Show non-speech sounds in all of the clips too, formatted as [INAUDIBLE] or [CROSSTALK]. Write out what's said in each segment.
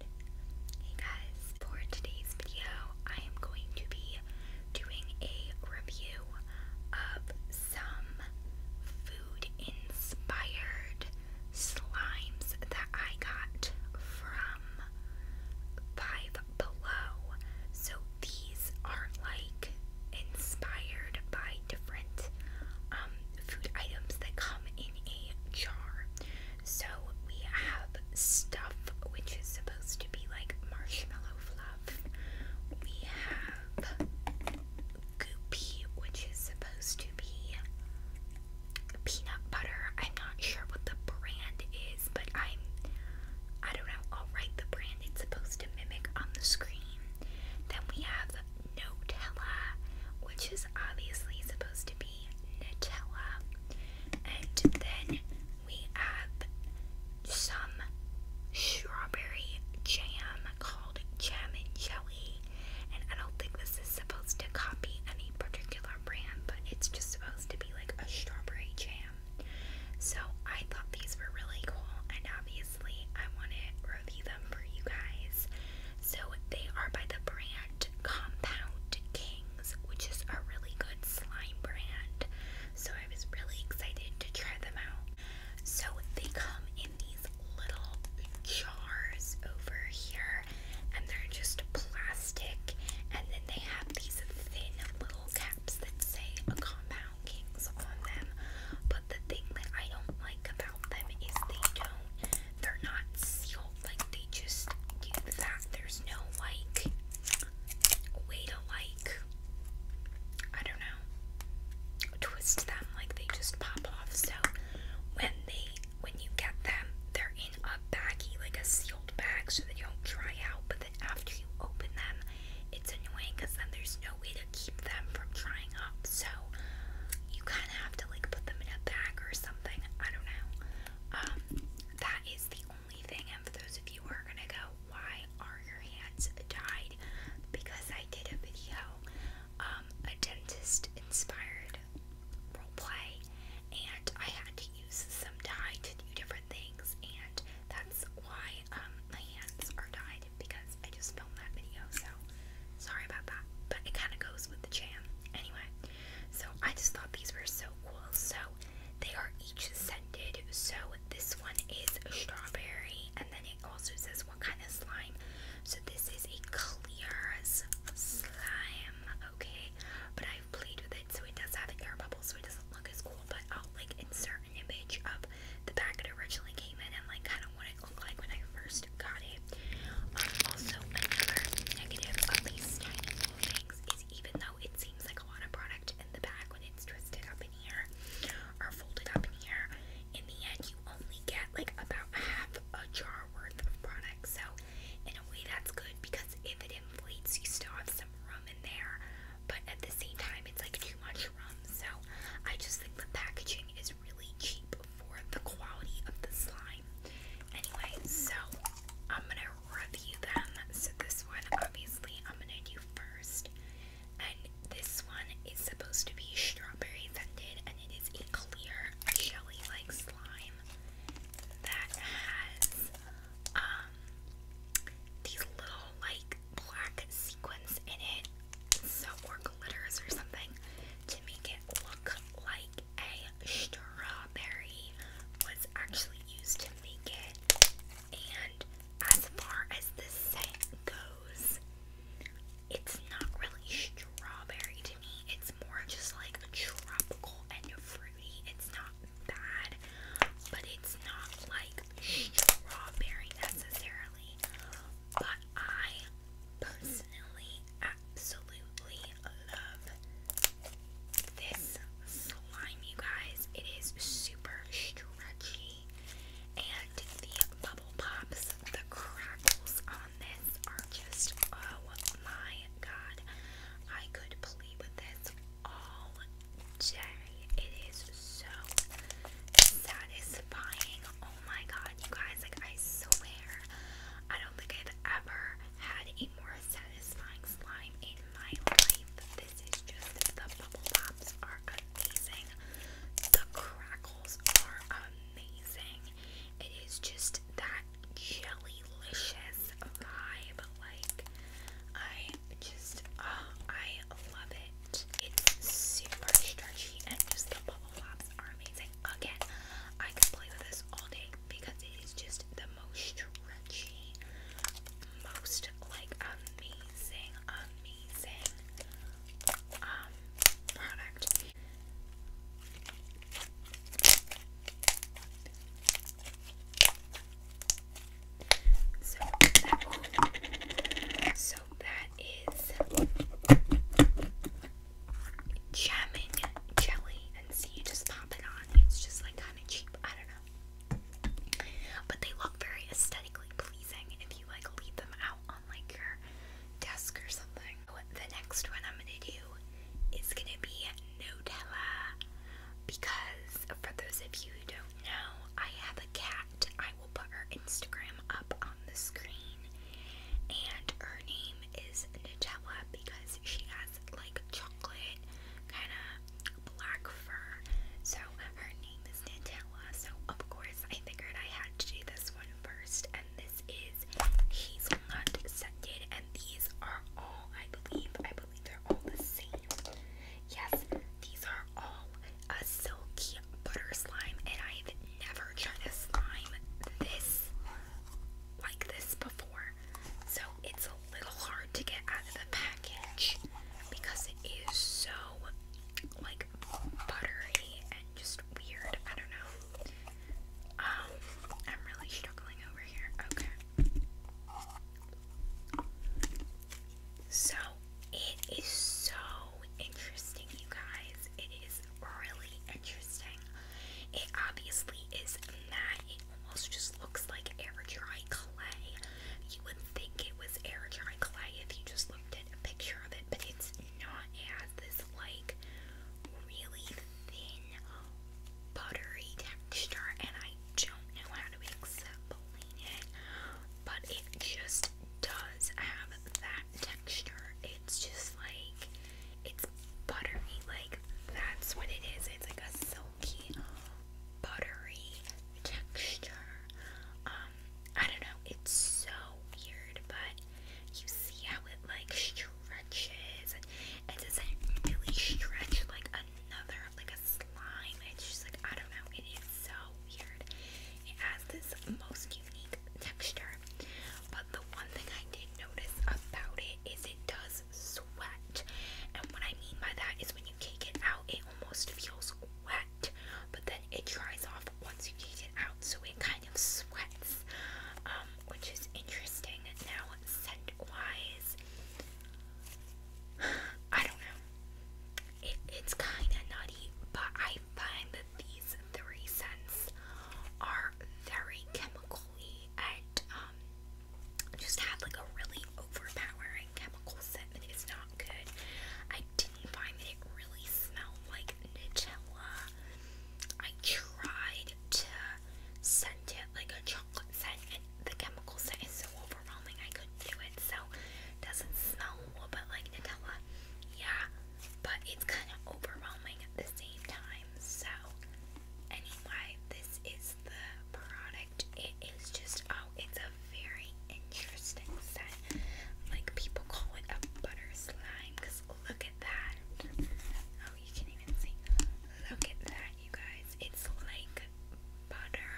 Hey guys, for today's video, I am going to be doing a review of some food inspired slimes that I got from Five Below. So these are like inspired by different um, food items that come in a jar. So we have stuff which is supposed to be like marshmallow fluff. We have goopy which is supposed to be peanut butter. I'm not sure what the brand is, but I'm I don't know, I'll write the brand it's supposed to mimic on the screen. Then we have Nutella, which is obviously supposed to be be Nutella. And then we have some strawberry jam called Jam and Jelly. And I don't think this is supposed to copy any particular brand, but it's just supposed to be like a strawberry jam. So I thought these were really cool, and obviously I want to review them for you guys. So they are by the brand Compound Kings, which is a really good slime brand. So I was really excited to try them out. So they come in these little jars over here, and they're just plastic. And then they have these thin little caps that say Compound Kings on them. But the thing that I don't like about them is they don't they're not sealed, like they just do that. There's no like way to like I don't know twist them like they just pop off. So when they when you get them, they're in a baggie, like a sealed bag, so they don't dry out. But then after you open them, it's annoying because then there's no way to keep them from drying up. So you kind have to like put them in a bag or something. I don't know. Um, that is the only thing. And for those of you who are gonna go, why are your hands dyed? Because I did a video, um, a dentist inspired role play, and I had to use some dye to do different things, and that's why um, my hands are dyed because I just filmed that video. So sorry about that, but it kind of goes with the jam anyway. So I just thought these were so cool. So they are each scented. So this one is strawberry, and then it also says what kind of slime. So this is a clear slime, okay? But I've played with it, so it does have air bubbles, so it doesn't look as cool. But I'll like insert an image of the pack it originally came in, and like kind of what it looked like when I first just got it. Um, also, another negative of these tiny little things is even though it seems like a lot of product in the back when it's twisted up in here or folded up in here, in the end you only get like about half a jar worth of product. So, in a way, that's good because if it inflates, you still have some room in there. But at the same time, it's like too much room. So, I just think the packaging is really cheap for the quality of the slime. Anyway, so I'm gonna review them. So this one, obviously, I'm gonna do first, and this one is supposed to be strawberry scented, and it is a clear jelly-like slime that has um, these little like black sequins in it, so or glitters or something to make it look like a strawberry was actually used to make it. And as far as the scent goes, it's not really strawberry to me. It's more just like a tropical and fruity. It's not bad, but it's not like strawberry necessarily. But I personally absolutely love this slime, you guys. It is super stretchy, and the bubble pops, the crackles on this are just oh my god. I could play with this all day. It is so satisfying. Oh my god, you guys, like I swear, I don't think I've ever had a more satisfying slime in my life. This is just, the bubble pops are amazing. The crackles are amazing. It is just that jellylicious vibe. Like, I just, oh, I love it. It's super stretchy and just the bubble pops are amazing amazing. Again, I could play with this all day because it is just the most stretchy, most like amazing, amazing um product. So that, so that is jamming jelly, and see you just pop it on. It's just like kind of cheap. I don't know, but they look very aesthetically pleasing if you like leave them out on like your desk or something. The next one I'm gonna do is gonna be Nutella because for those of you who don't know, I have a cat. I will put her Instagram up on the screen and her name is Nutella because she has like chocolate kind of black fur. So her name is Nutella. So of course I figured I had to do this one first and this is he's not scented and these are all I believe I believe they're all the same. Yes, these are all a silky butter slime and I've never tried a slime this like this before, so it's a little hard to get out of the package because it is so like buttery and just weird. I don't know. Um, I'm really struggling over here. Okay. So it is so interesting, you guys. It is really interesting. It obviously is matte. It almost just looks like air dry clay. You would think it was air dry clay if you just looked at a picture of it, but it's not. It has this like really thin, buttery texture, and I don't know how to explain it, but it just does have that texture. It's just like it's buttery, like that's what it is. It's like a silky, buttery texture. Um, I don't know, it's so weird, but you see how it like stretches and it doesn't really stretch like another like a slime. It's just like I don't know, it is so weird. It has this most unique texture but the one thing I did notice about it is it does sweat. And what I mean by that is when you take it out, it almost feels wet, but then it dries off once you take it out, so it kind of sweats, um, which is interesting. Now, scent wise, [SIGHS] I don't know. it's kind of nutty, but I find that these three scents are very chemically and um, just had like a really overpowering chemical scent and it's not good. I didn't find that it really smelled like Nutella. I tried to scent it like a chocolate scent and the chemical scent is so overwhelming I couldn't do it so it doesn't smell a like Nutella. Yeah, but it's kind of overwhelming at the same time. So, anyway, this is the product. It is just, oh, it's a very interesting scent. Like, people call it a butter slime because look at that. Oh, you can even see. Look at that, you guys. It's like butter.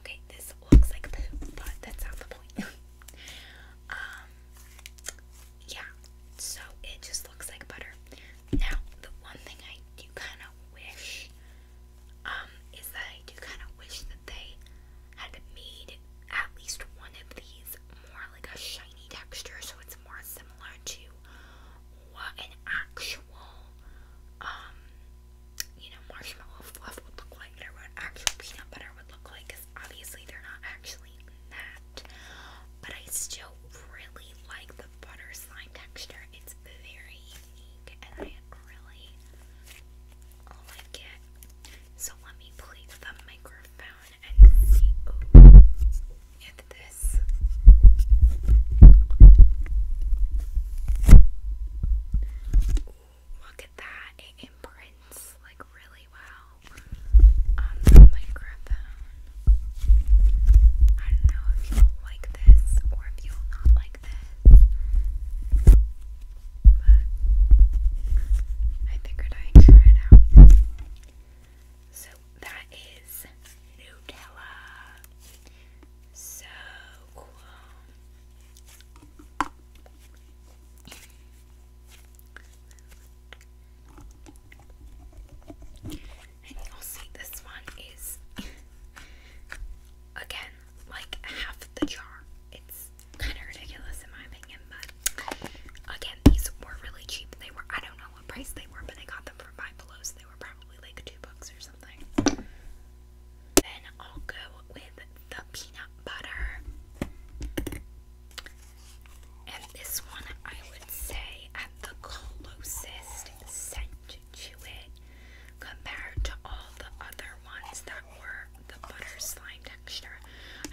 Okay, this looks like poop, but that's not the point. [LAUGHS] um, yeah, so it just looks like butter. Now, the one thing I do kind of wish um, is that I do kind of wish that they had made at least one of these more like a shiny texture so it's more similar to what an actual, um, you know, marshmallow fluff would look like or what actual peanut butter would look like because obviously they're not actually but I still really like the butter slime texture. It's very unique and I really like oh So let me place the microphone and see if this look at that. It imprints like really well on the microphone. I don't know if you'll like this or if you'll not like this. But I figured I'd try it out. So that is Nutella. So and you'll see this one is [LAUGHS] again like half the jar. It's kind of ridiculous in my opinion, but again, these were really cheap. They were, I don't know what price they were, but I got them from five below, so they were probably like two bucks or something. Then I'll go with the peanut butter. And this one, I would say, at the closest scent to it compared to all the other ones that were the butter slime texture.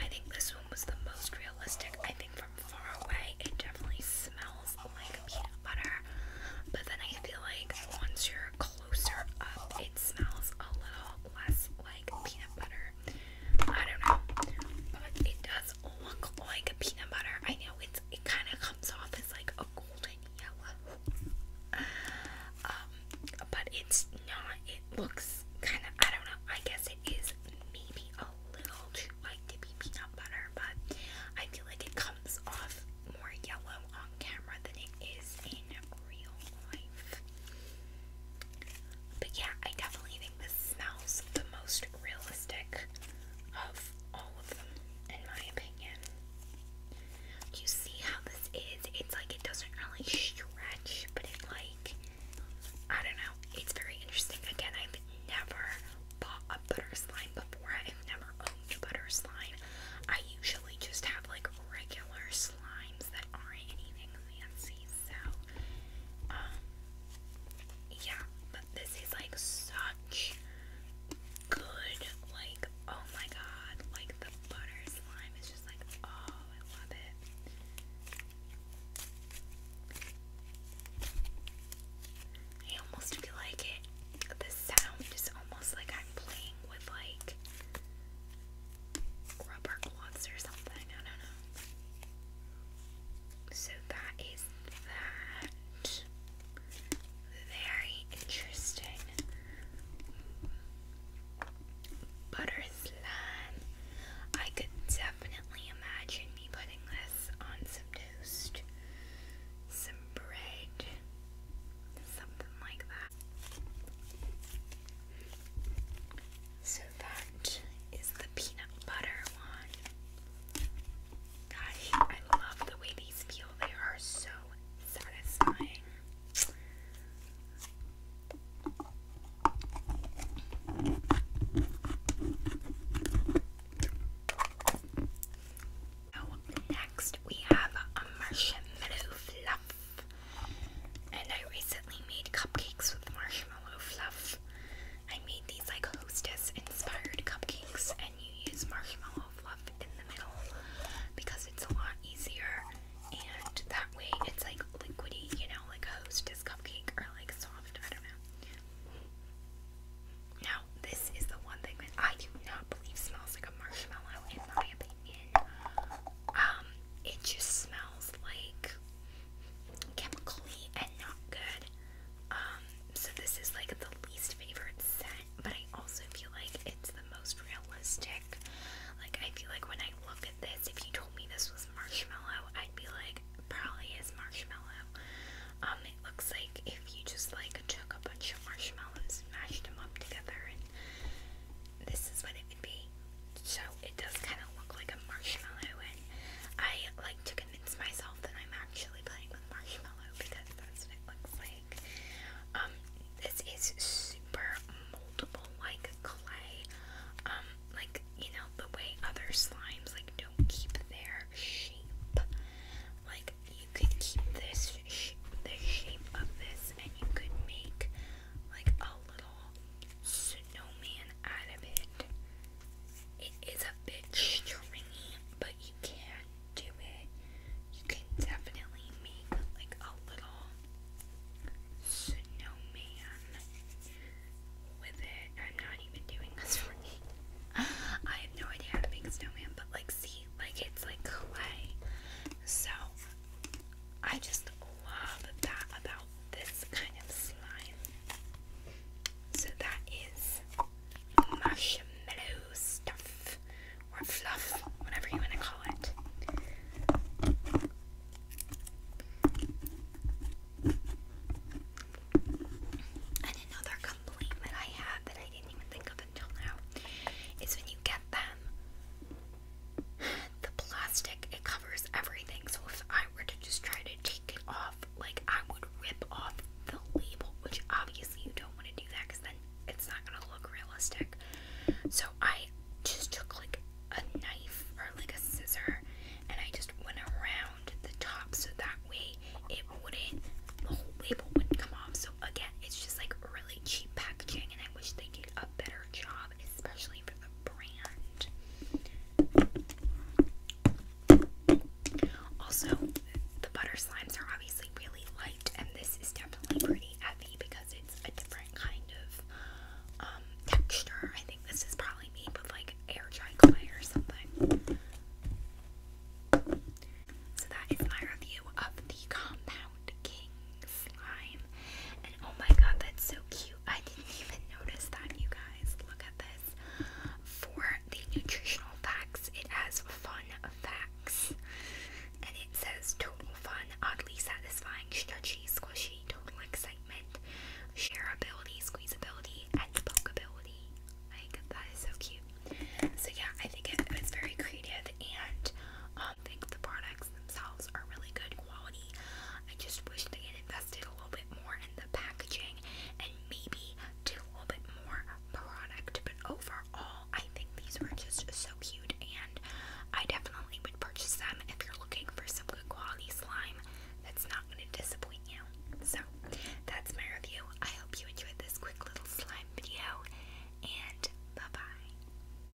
I think this one was the most realistic. I think from far away, it definitely smells like peanut butter, but then I feel like once you're closer up, it smells a little less like peanut butter I don't know, but it does look like a peanut butter. I know it's it kind of comes off as like a golden yellow, um, but it's not. It looks kind of I don't know. I guess it is maybe a little too light to be peanut butter, but I feel like it comes off more yellow on camera than it is in real life. But yeah, I definitely think this smells the most realistic of all of them, in my opinion. You see how this is? It's like it doesn't really stretch, but it like, I don't know, it's very interesting. Again, I've never bought a butter slime before, I've never owned a butter slime. I usually just have like regular slimes that aren't anything fancy, so um, yeah, but this is like such good, like oh my god, like the butter slime is just like oh I love it. I almost feel like it the sound is almost like I'm playing with like rubber gloves or something. I don't know. So that is that. Very interesting. Butter slime. I could definitely imagine me putting this on some some bread, something like that. So that is the peanut butter one. God, I love the way these feel. They are so satisfying. So next we have a marshmallow fluff and I recently made cupcakes with marshmallow fluff. I made these like hostess inspired cupcakes, and you use marshmallow fluff in the middle because it's a lot easier, and that way it's like liquidy, you know, like a hostess cupcake or like soft. I don't know. Now, this is the one thing that I do not believe smells like a marshmallow, in my opinion um, it just smells like chemically and not good. Um, so this is like the least favorite scent, but I also feel like it's the most realistic. Like I feel like when I look at this, if you told me this was marshmallow, I'd be like, probably is marshmallow. Um, it looks like if you just like took a bunch of marshmallows and mashed them up together, and this is what it so it does kind of look like a marshmallow, and I like to convince myself that I'm actually playing with marshmallow because that's what it looks like. Um, this is super moldable, like clay. Um, like you know the way other slimes like don't keep their shape. Like you could keep this sh the shape of this, and you could make like a little snowman out of it. It is a bit but you can do it. You can definitely make like a little snowman with it. i not even doing this for me. [LAUGHS] I have no idea how to make a snowman, but like, see, like it's like clay. So I just love that about this kind of slime. So that is marshmallow stuff or fluff, whatever you want to call it. And another complaint that I have that I didn't even think of until now is when you get them, [SIGHS] the plastic it covers everything so if I were to just try to take it off like I would rip off the label which obviously you don't want to do that because then it's not gonna look realistic so I just took like a knife or like a scissor and I just went around the top so that way it wouldn't the whole label wouldn't come off so again it's just like really cheap packaging and I wish they did a better job especially for the brand. Also, the butter slimes are obviously really light, and this is definitely pretty heavy because it's a different kind of um, texture. I think this is probably made with like air dry clay or something. So that is my review of the Compound King slime. And oh my god, that's so cute. I didn't even notice that, you guys. Look at this. For the nutritional facts, it has fun facts. And it says total fun, oddly satisfying, stretchy, squishy, total excitement, shareability, squeezability, and pokeability. Like, that is so cute. So, yeah, I think it was very creative and mom thinks the products themselves are really good quality. I just wish they had invested a little bit more in the packaging and maybe did a little bit more product. But overall, I think these were just so cute, and I definitely would purchase them if you're looking for some good quality slime that's not going to disappoint you. So, that's my review. I hope you enjoyed this quick little slime video, and bye bye.